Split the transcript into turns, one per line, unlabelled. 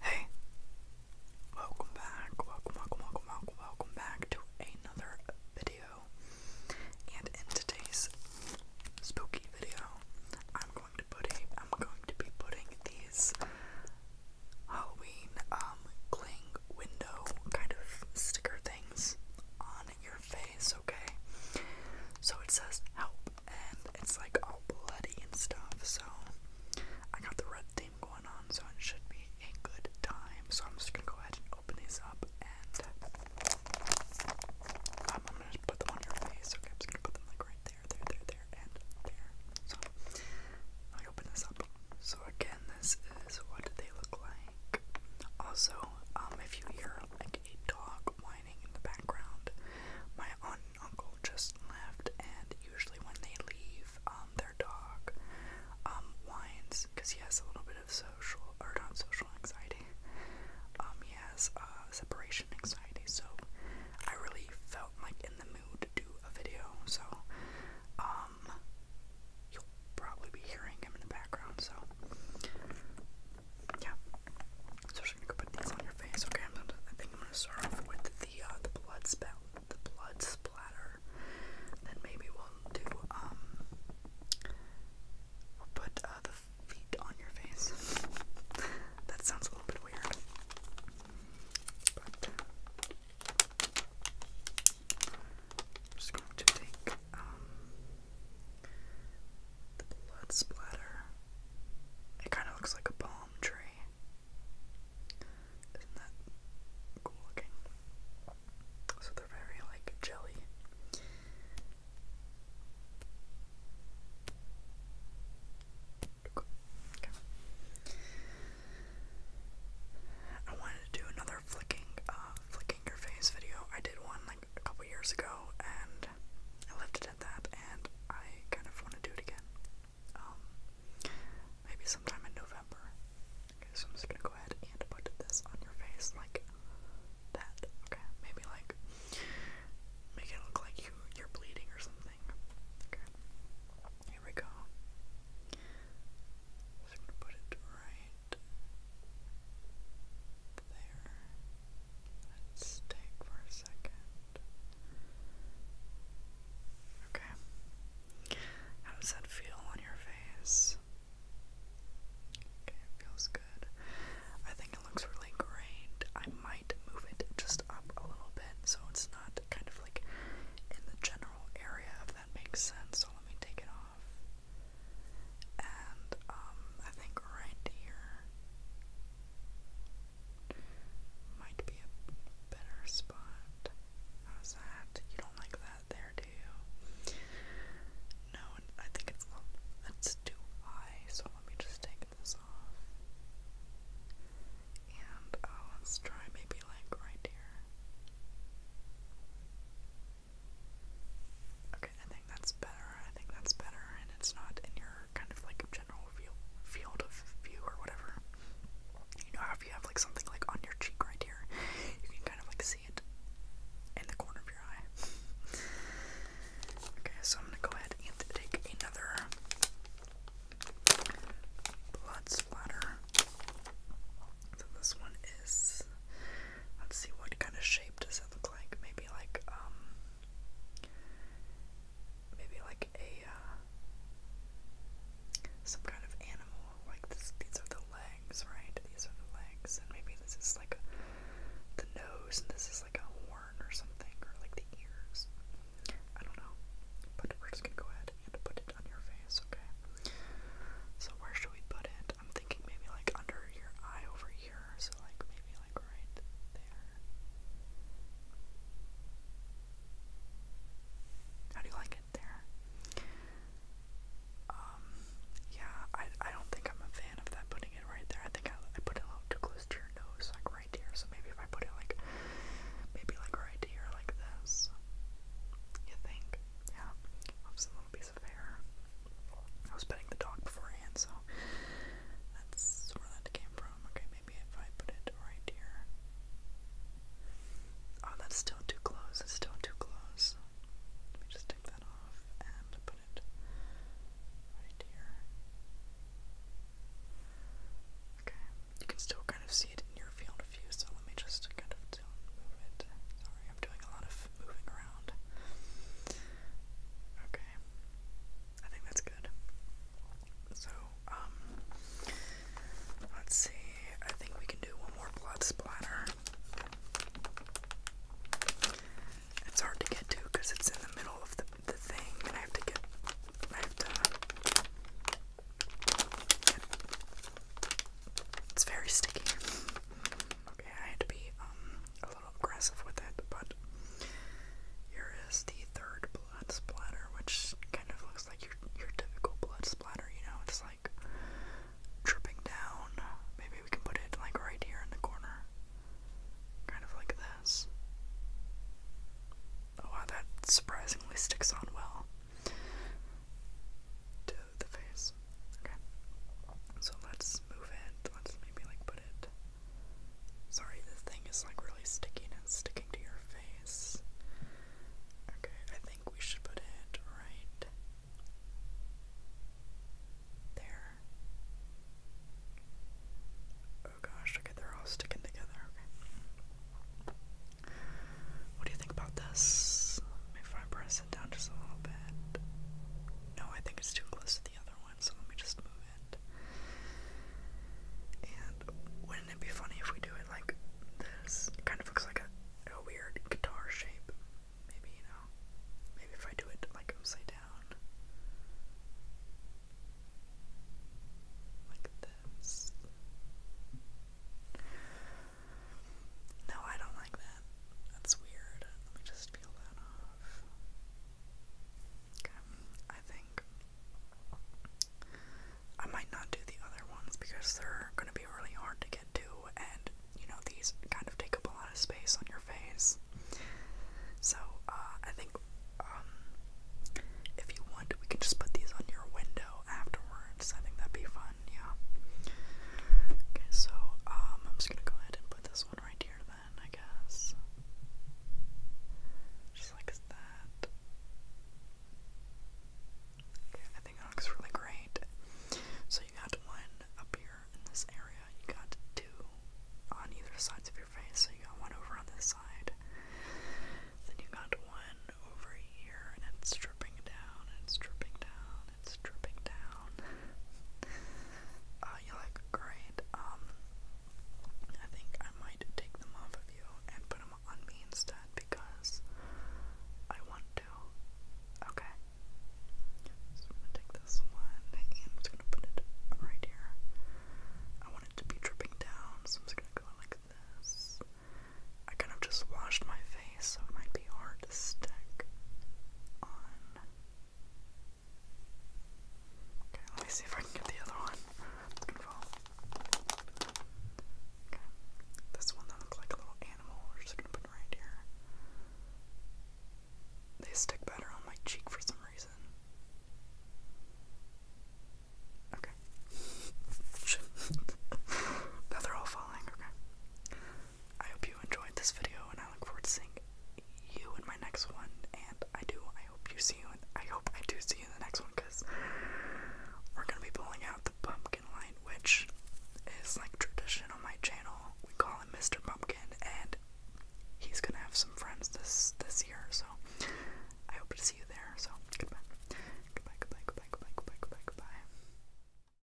Hey, welcome back, welcome, welcome, welcome, welcome, back to another video. And in today's spooky video, I'm going to be putting these Halloween um, cling window kind of sticker things on your face, okay? So it says help, and it's like all bloody and stuff. So I got the red theme going on, so it should be a good time. So I'm just gonna go ahead and open these up, and I'm gonna put them on your face, okay? I'm just gonna put them like right there, there, there, there, and there. So let open this up. So again, this what do they look like? Also, um, if you hear like a dog whining in the background, my aunt and uncle just left, and usually when they leave, um, their dog um, whines because he has a little bit of social or not social anxiety. Um, he has uh, separation anxiety, so I really felt like in the mood to do a video. So, um, probably be hearing him in the background, so yeah. So we're gonna go put these on your face, okay? i think I'm gonna start with the uh, the blood spout, the blood splatter. Then maybe we'll do um, put uh, the feet on your face. that sounds a little bit weird, but I'm just going to take um, the blood splatter. It kind of looks like a palm tree. Isn't that cool looking? So they're very like jelly. I wanted to do another flicking, uh, flicking your face video. I did one like a couple years ago, and I left it at that. And I kind of want to do it again. Um, maybe sometime in November. Okay, so I'm just gonna go ahead and put this on your face like that. Okay, maybe like make it look like you you're bleeding or something. Okay, here we go. Just gonna put it right there. Let's take for a second. Okay. How does that feel on your face? Okay, it feels good. I think it looks really great. I might move it just up a little bit so it's not kind of like in the general area, if that makes sense. So let me take it off. And um, I think right here might be a better spot. How's that? You don't like that there, do you? No, I think it's it's too high, so let me just take this off. And uh, let's try maybe like right here. Okay, I think that's better. I think that's better, and it's not in your kind of like general field field of view or whatever. You know, if you have like something like on your cheek right here, you can kind of like see it in the corner of your eye. okay, so I'm gonna go ahead and take another blood splatter. So this one is let's see what kind of shape does it look like? Maybe like um maybe like a uh some kind of animal. Like this these are the legs, right? These are the legs and maybe this is like a, the nose and this is like a horn or something or like the ears. I don't know. But we're just gonna go ahead and put it on your face, okay? So where should we put it? I'm thinking maybe like under your eye over here, so like maybe like right there. How do you like it there? Um, yeah, I I don't think I'm a fan of that putting it right there. I think I, I put it a little too close to your nose, like right here. So maybe if I put it like maybe like right here, like this. You think? Yeah. Oops, a little piece of hair. I was petting the dog beforehand, so that's where that came from. Okay, maybe if I put it right here. Oh, that's still too close. It's still too close. Let me just take that off and put it right here. Okay, you can still kind of see it in your field of view, so let me just kind of Sorry, I'm doing a lot of moving around. Okay. I think that's good. So, um, let's see. I think we can do one more blood splatter. It's hard to get to because it's in the middle of the, the thing, and I have to get. I have to. It's very sticky. Okay, I had to be um a little aggressive with it, but here is the third blood splatter, which kind of looks like your your typical blood splatter, you know, it's like dripping down. Maybe we can put it like right here in the corner. Kind of like this. Oh wow, that surprisingly sticks on well the face. Okay. So let's move it. Let's maybe like put it. Sorry, this thing is like really sticky and sticking to your face. Okay, I think we should put it right there. Oh gosh, okay, they're all sticking together. Okay. What do you think about this? If I press down just a little bit. No, I think it's too close to the other one, so let me just move it. And wouldn't it be funny if we do it like this? kind of looks like a, a weird guitar shape. Maybe, you know, maybe if I do it like upside down. Like this. No, I don't like that. That's weird. Let me just peel that off. Okay, I think I might not do the other ones because they're gonna be really hard to get to, and you know, these kind of take up a lot of space on your face. So, uh, I think, um, if you want, we can just put these on your window afterwards. I think that'd be fun yeah. Okay, so um, I'm just gonna go ahead and put this one right here then, I guess. Just like that. Okay, I think that looks really great. So you got one up here in this area, you got two on either sides of your face, so you got one over on this side. Then you got one over here, and it's dripping down, it's dripping down, it's dripping down. Uh, you're great, um, I think I might take them off of you and put them on me instead because I want to. Okay. So I'm gonna take this one and I'm just gonna put it right here. I want it to be dripping down, so I'm just gonna go like this. I kind of just washed my face so it might be hard to stick on. Okay, let me see if I can get the other one. It's gonna fall. Okay, this one looks like a little animal, we're just gonna put it right here. They stick better on my cheek for some reason. Okay. Now they're all falling, okay. I hope you enjoyed this video, and I look forward to seeing you in my next one. And I do. I hope you see you. and I hope I do see you in the next one, cause we're gonna be pulling out the pumpkin line, which is like tradition on my channel. We call him Mr. Pumpkin, and he's gonna have some friends this this year. So I hope to see you there. So goodbye, goodbye, goodbye, goodbye, goodbye, goodbye, goodbye. goodbye.